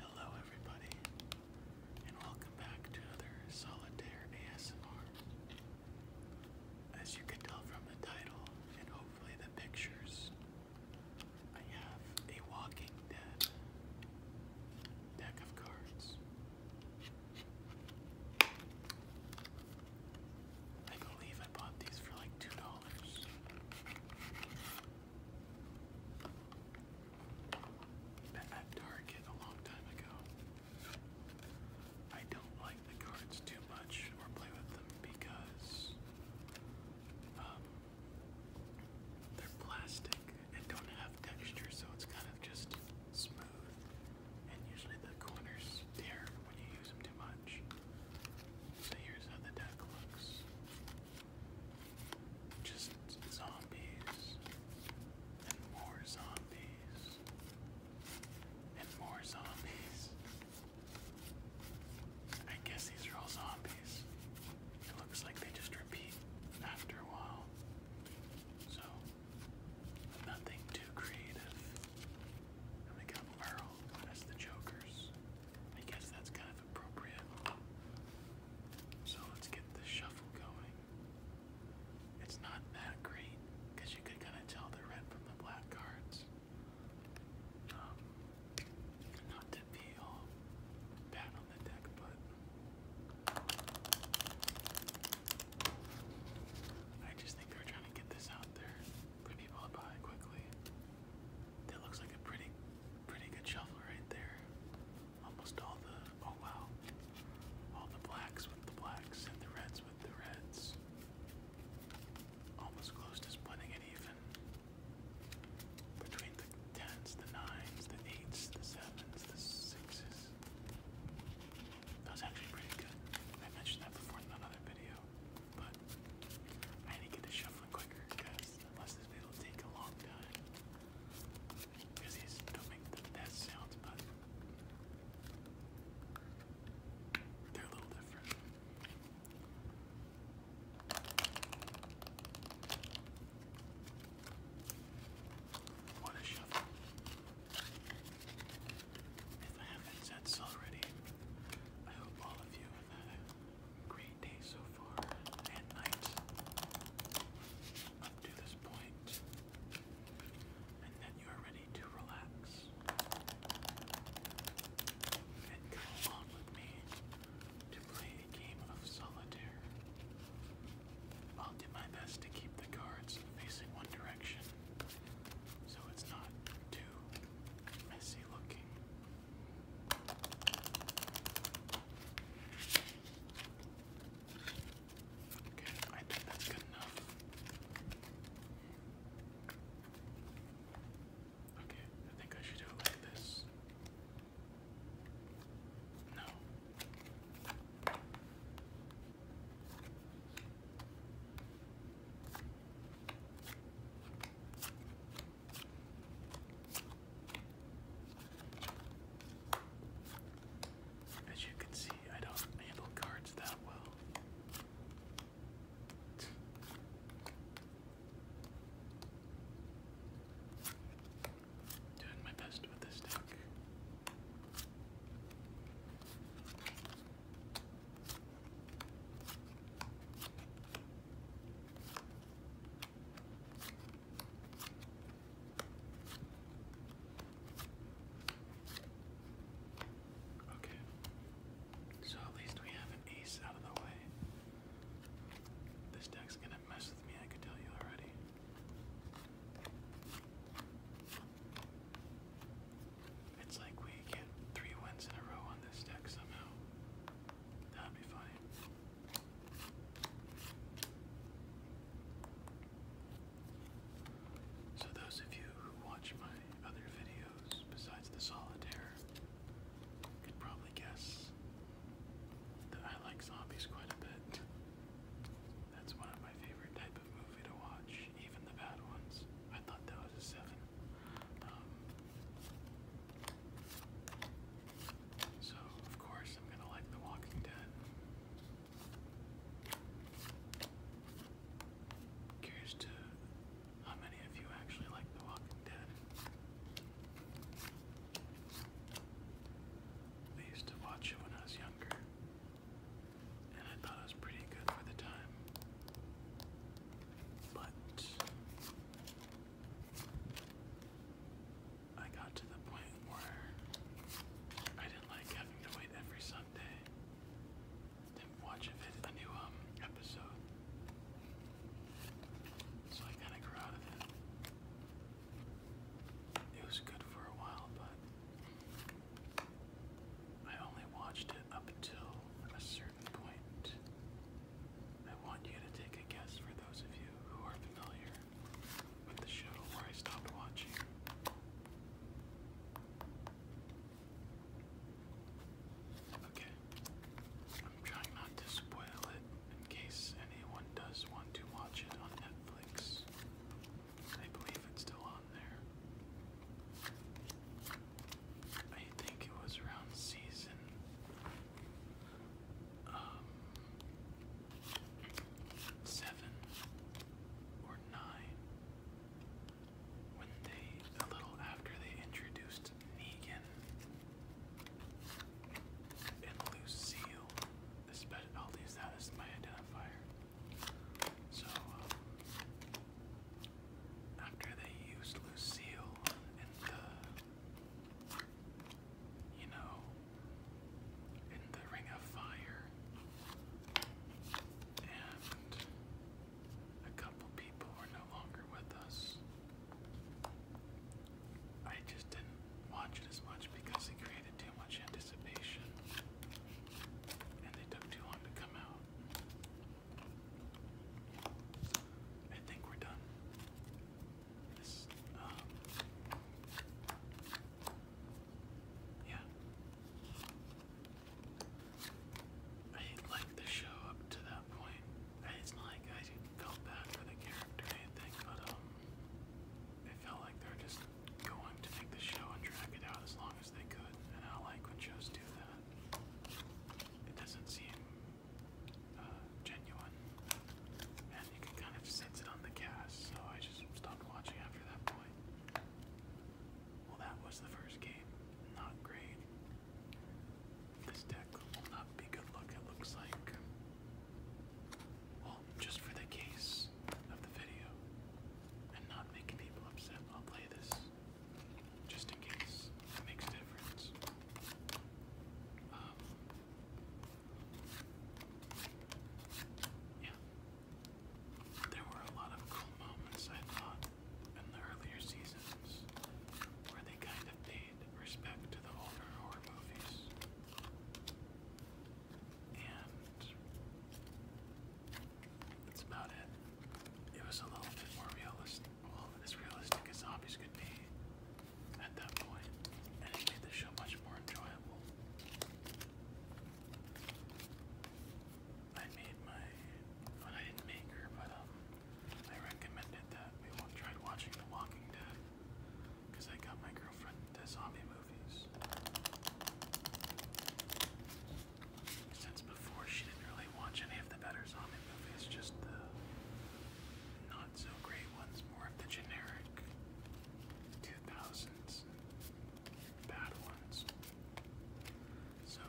Hello, everybody, and welcome back to another Solitaire ASMR. As you can tell from the title and hopefully the pictures, I have a Walking Dead deck of cards. I believe I bought these for like two dollars. At Target a long time ago. I don't like the cards too much or play with them because um, they're plastic and don't have texture, so it's kind of just smooth, and usually the corners tear when you use them too much. So here's how the deck looks. Just zombies, and more zombies, and more zombies. I guess these are all zombies. It looks like they just repeat after a while. So Nothing too creative. we got Merle as the Jokers. I guess that's kind of appropriate. So let's get the shuffle going. It's not that great because you could kind of tell the red from the black cards. Um, not to be all bad on the deck, but I just think they're trying to get this out there for people to buy quickly. That looks like a pretty, pretty good shovel right there. Almost all the, oh wow, all the blacks with the blacks and the reds with the reds. Almost close to splitting it even. Between the tens, the nines, the eights, the sevens, the sixes. That was actually pretty good. I mentioned that before in another video, but I had to get the shuffling quicker because unless this video will a long time. Because these don't make the best sounds, but they're a little different. What a shuffle. If I haven't said so already, I hope all of you had a great day so far and night up to this point, and that you are ready to relax and come along with me to play a game of solitaire. I'll do my best to keep the cards facing one direction so it's not too messy looking. Okay, I think that's good enough. Okay, I think I should do it like this. No. As you can see, I don't handle cards that well. Doing my best with this deck. Okay. So at least we have an ace out of the way. This deck's gonna mess with me, I could tell you already. It's like we get three wins in a row on this deck somehow. That'd be funny. So, those of you who watch my other videos besides the solitaire could probably guess that I like zombies quite a bit. That's one of my favorite type of movie to watch, even the bad ones. I thought that was a seven. Um, so of course I'm gonna like The Walking Dead. curious to how many of you actually like The Walking Dead. I used to watch it when I was younger and I thought it was pretty good for the time. But I got to the point where I didn't like having to wait every Sunday to watch a, new um, episode. So I kind of grew out of it. It was good for a while, but I only watched it up until a certain point. I want you to take a guess for those of you who are familiar with the show where I stopped watching. Okay. I'm trying not to spoil it in case anyone does want to watch it on Netflix. I believe it's still on there. I think it was around season um, seven or nine when they, a little after they introduced Negan and Lucille this bed, i my identifier. So, um, after they used Lucille and the, you know, in the Ring of Fire, and a couple people were no longer with us, I just didn't watch as much because it created too much anticipation and they took too long to come out. I think we're done. This, um, yeah. I liked the show up to that point. It's like I felt bad for the character or anything, but um, it felt like they are just going to make the show and drag it out as long as they could, and I like when shows do that. It doesn't seem uh, genuine, and you can kind of sense it on the cast, so I just stopped watching after that point. Well, that was the first game. Not great. This deck will not be good luck, it looks like. Well, just for the case of the video and not making people upset, I'll play this just in case it makes a difference. Um, yeah. There were a lot of cool moments, I thought, in the earlier seasons where they kind of paid respect to the older horror movies that's about it. It was a little bit more realistic, well, as realistic as zombies could be at that point, and it made the show much more enjoyable. I made my, I didn't make her, but um, I recommended that we all tried watching The Walking Dead. Because I got my girlfriend the zombie movies. Since before, she didn't really watch any of the better zombie movies, just the not so great ones, more of the generic 2000s bad ones. So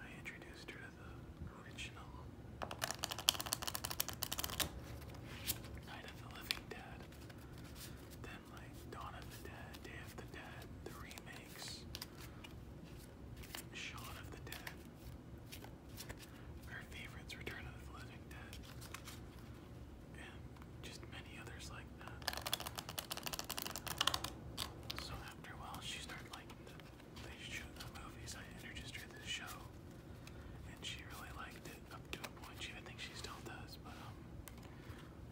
I introduced her to the original Night of the Living Dead. Then like Dawn of the Dead, Day of the Dead, the remakes, Shaun of the Dead. Her favorites, Return of the Living Dead, and just many others like that. So after a while, she started liking the, the, show, the movies. I introduced her to the show, and she really liked it up to a point. She, I think she still does, but um,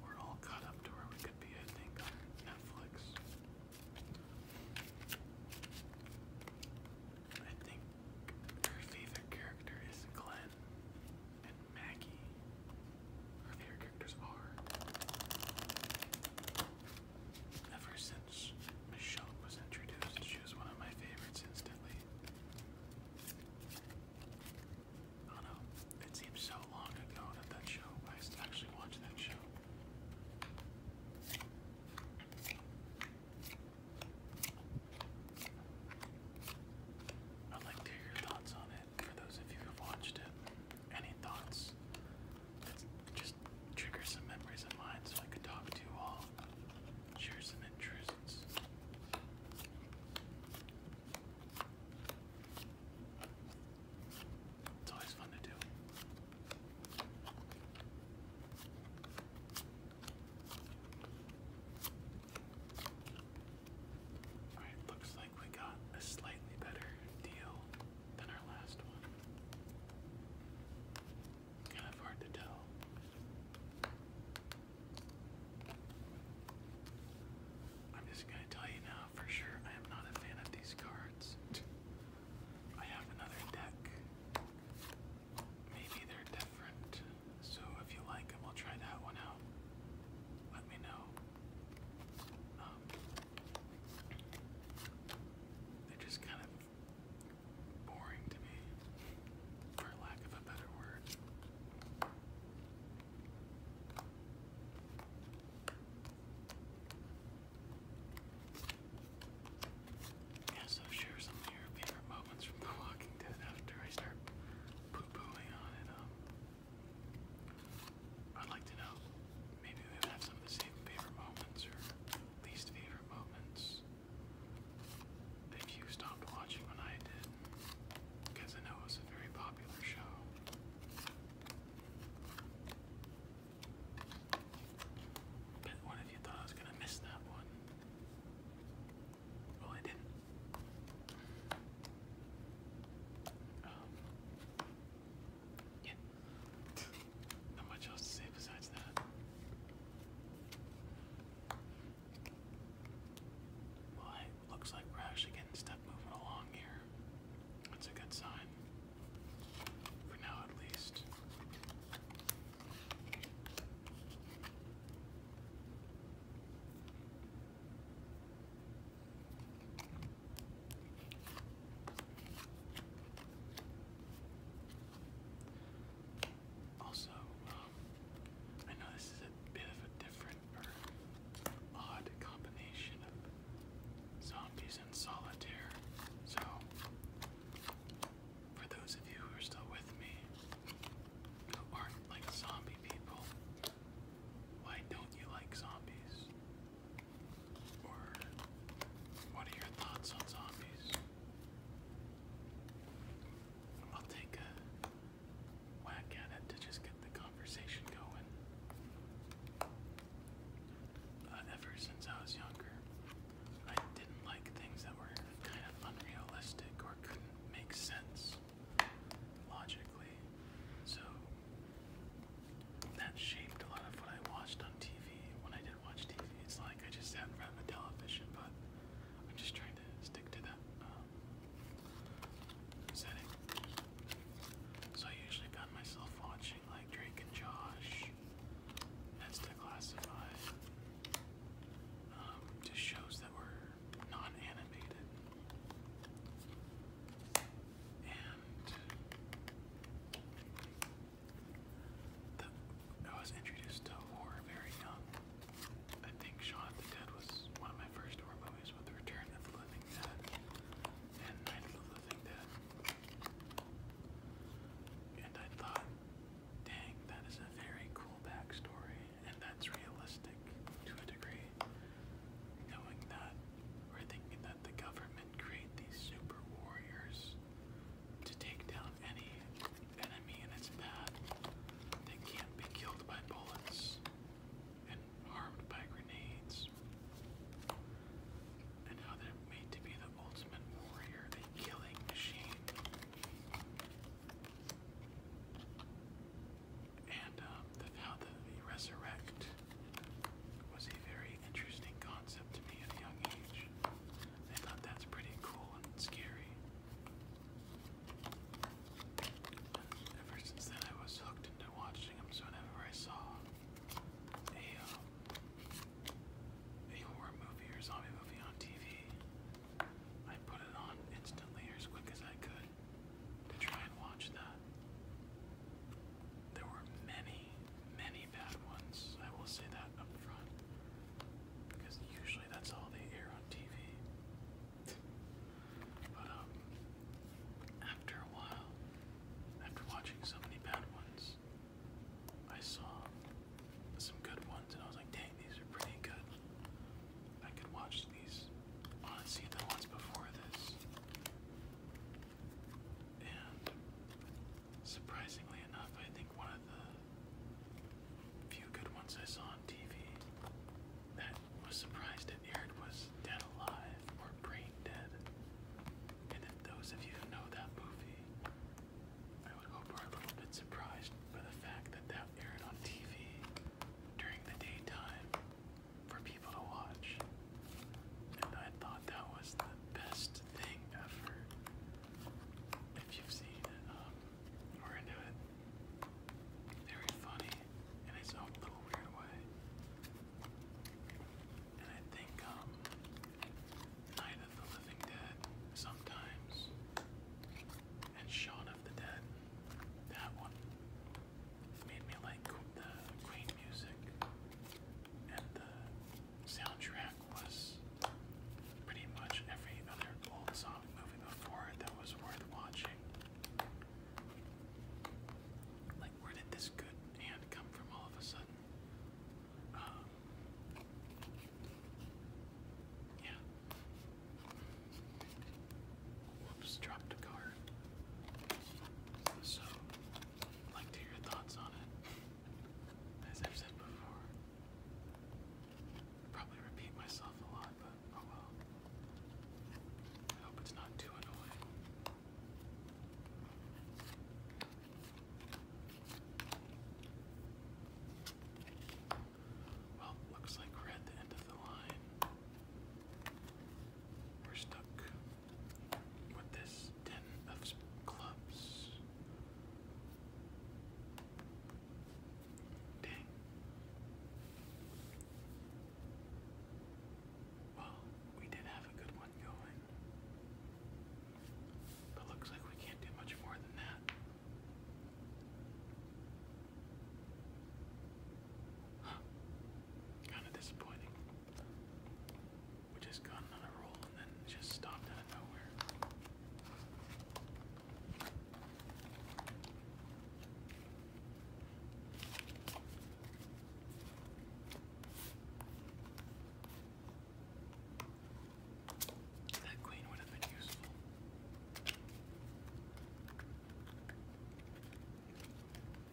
we're all caught up to where we could be, I think, on Netflix. I think her favorite character is Glenn and Maggie. Her favorite characters are. Ever since Michelle was introduced, she was one of my favorites instantly. I oh, know. It seems so long ago that that show. I used to actually watch that show. I'd like to hear your thoughts on it. For those of you who've watched it, any thoughts? just trigger some memories of mine so I could talk to you all, share some interest. It's always fun to do. All right, looks like we got a slightly better deal than our last one. Kind of hard to tell. I'm just gonna tell you now for sure I am not a fan of these cards. I have another deck. Maybe they're different. So if you like them, I'll try that one out. Let me know. Um, they're just kind of boring to me, for lack of a better word. Yeah, so share some of your favorite moments from The Walking Dead after I start poo on it. Um, I'd like to know. Maybe we have some of the same favorite moments or least favorite moments that you stopped watching when I did, because I know it was a very popular show. But what if you thought I was gonna miss that one? Well, I didn't. Um, yeah. Not much else to say besides that. Well, it looks like we're actually getting stuff moving along here. That's a good sign. For now, at least. Also, um, I know this is a bit of a different odd combination of zombies and solitaire. So, for those of you who are still with me, who aren't like zombie people, why don't you like zombies? Or, what are your thoughts on zombies? I'll take a whack at it to just get the conversation going. Uh, ever since I was younger, I didn't like things that were kind of unrealistic or couldn't make sense logically. So that shaped a lot of what I watched on TV when I did didn't watch TV. It's like I just sat in front of a television, but I'm just trying to stick to that um, setting. So I usually found myself watching like Drake and Josh, That's Declassified, um, just shows that were non-animated. And I was introduced to horror very young. I think Shaun of the Dead was one of my first horror movies with The Return of the Living Dead and Night of the Living Dead. And I thought, dang, that is a very cool backstory, and that's realistic to a degree. Knowing that, or thinking that the government create these super warriors to take down any enemy in its path that can't be killed by bullets and harmed by grenades. And how they're made to be the ultimate warrior, the killing machine. And um, how the, resurrect was a very interesting concept to me at a young age. I thought that's pretty cool and scary. ever since then, I was hooked into watching them. So whenever I saw a uh, a horror movie or zombie movie on TV, I put it on instantly or as quick as I could to try and watch that. There were many, many bad ones. I will say that up front. Because usually that's all they air on TV. But, um, after a while, after watching so many bad ones, I saw some good ones and I was like, dang, these are pretty good. I could watch these, honestly, the ones before this. And Surprisingly enough, I think one of the few good ones I saw on TV that was surprised it aired was Dead Alive or Brain Dead. And if those of you know that movie, I would hope are a little bit surprised by the fact that that aired on TV during the daytime for people to watch. And I thought that was the best thing ever if you've seen it, um, we're into it. Very funny in its own little weird way. And I think um, Night of the Living Dead sometimes, and Shaun of the Dead, that one made me like the Queen music and the soundtrack was pretty much every other old zombie movie before it that was worth watching. Like, where did this good hand come from all of a sudden? Um, yeah. Whoops, dropped a card. So, like to hear your thoughts on it. As I've said before, probably repeat myself a lot, but oh well. I hope it's not too annoying. Well, looks like we the end of the line. We're stuck with this ten of clubs. Well, we did have a good one going. But looks like we can't do much more than that. Kind of disappointing. We just got another roll and then just stopped out of nowhere. That queen would have been useful.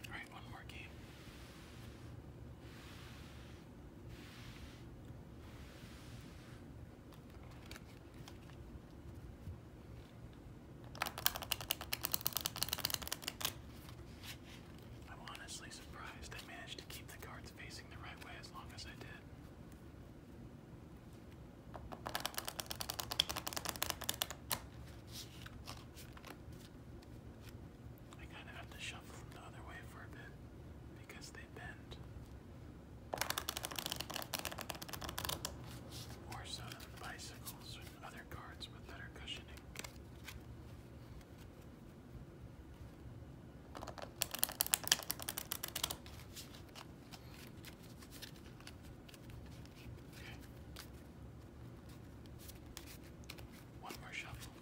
Alright, one more game. I'm honestly surprised I managed to keep the cards facing the right way as long as I did. I kind of have to shuffle them the other way for a bit because they bend. More so than bicycles and other cards with better cushioning. Okay. One more shuffle.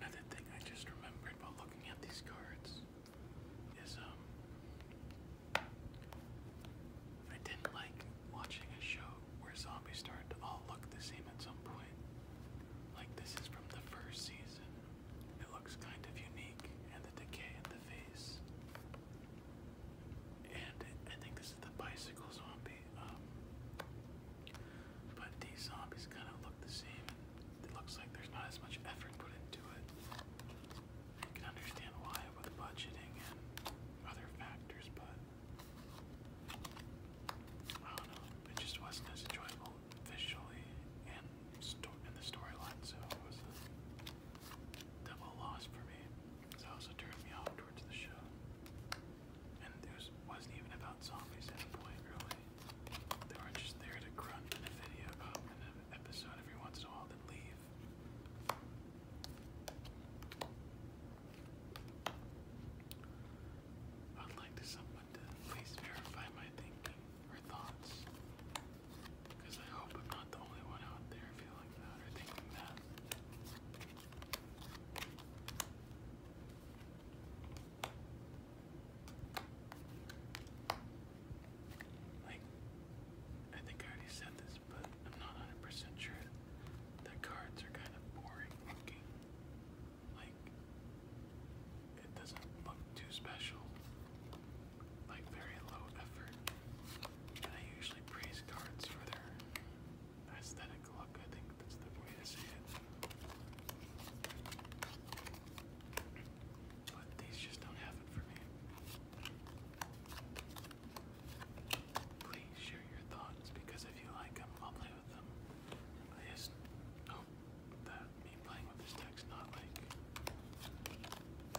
Another thing I just remembered while looking at these cards is um I didn't like watching a show where zombies started to all look the same at some point. Like this is from the first season. It looks kind of unique and the decay in the face. And I think this is the bicycle zombie. Um, but these zombies kind of look the same. It looks like there's not as much effort put into it. You can understand why with budgeting and other factors, but I don't know. It just wasn't as enjoyable visually and sto in the storyline, so it was a double loss for me. So it also turned me off towards the show. And it was, not even about zombies at a point, really. They were just there to crunch in a video, um, an episode every once in a while, then leave. I'd like someone to at verify my thinking or thoughts. Because I hope I'm not the only one out there feeling that or thinking that. Like, I think I already said this, but I'm not 100% sure. The cards are kind of boring looking. Like, it doesn't look too special. Like, very low effort. And I usually praise cards for their aesthetic look. I think that's the way to say it. But these just don't have it for me. Please share your thoughts because if you like them, I'll play with them. I that me playing with this deck's not like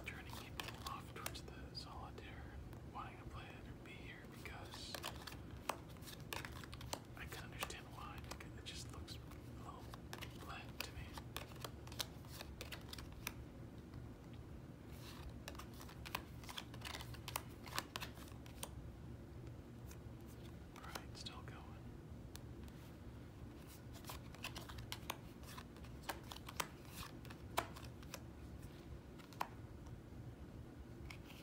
turning people off towards the solitaire, wanting to play it or be here because I can understand why. It just looks a little bland to me. Right, still going.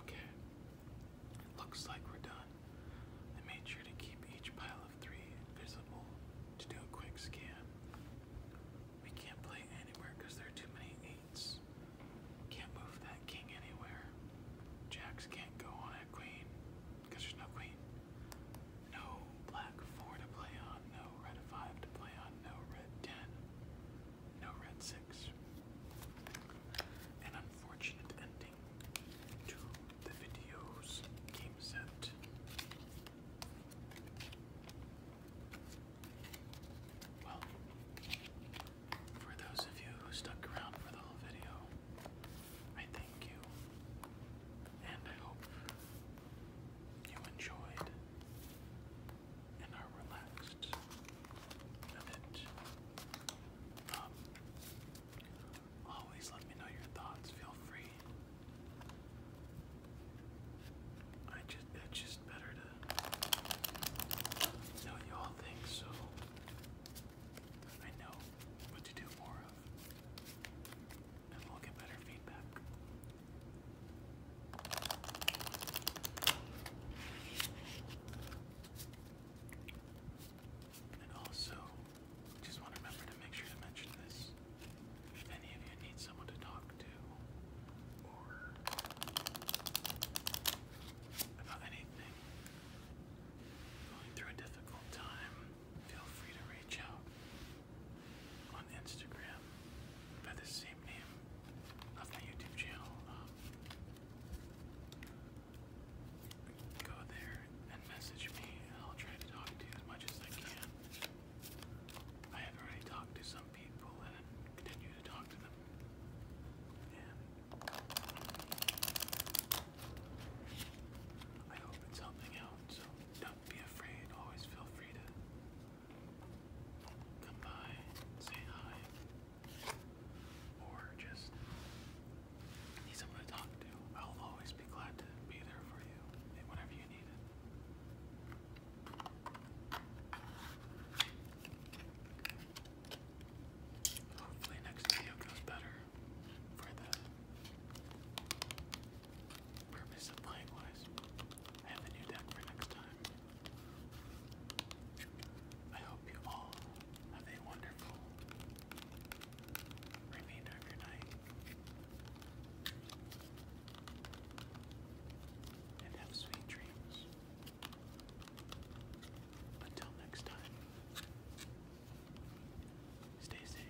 Okay, looks like we're done. I made sure to keep each pile of three visible to do a quick scan. We can't play anywhere because there are too many eights. Can't move that king anywhere. Jacks can't go on queen, because there's no queen. No black four to play on, no red five to play on, no red ten, no red six. An unfortunate ending to the video's game set. Well, for those of you who stuck around for the whole video, I thank you, and I hope you enjoyed and are relaxed with it. Um, always let me know your thoughts. Feel free. I just it's just better to know you all think so. I know what to do more of, and we'll get better feedback. And also, just want to remember to make sure to mention this. If any of you need someone to talk to, or about anything, going through a difficult time, feel free to reach out on Instagram by the same name of my YouTube channel. Um, go there and message me, I'll try to talk to you as much as I can. I have already talked to some people, and continue to talk to them. I hope it's helping out, so don't be afraid. Always feel free to come by, say hi, or just need someone to talk to. I'll always be glad to be there for you whenever you need Hopefully next video goes better for the purpose of playing wise. I have new deck for next time. I hope you all have a wonderful remainder of your night. And have sweet dreams. Until next time. Stay safe.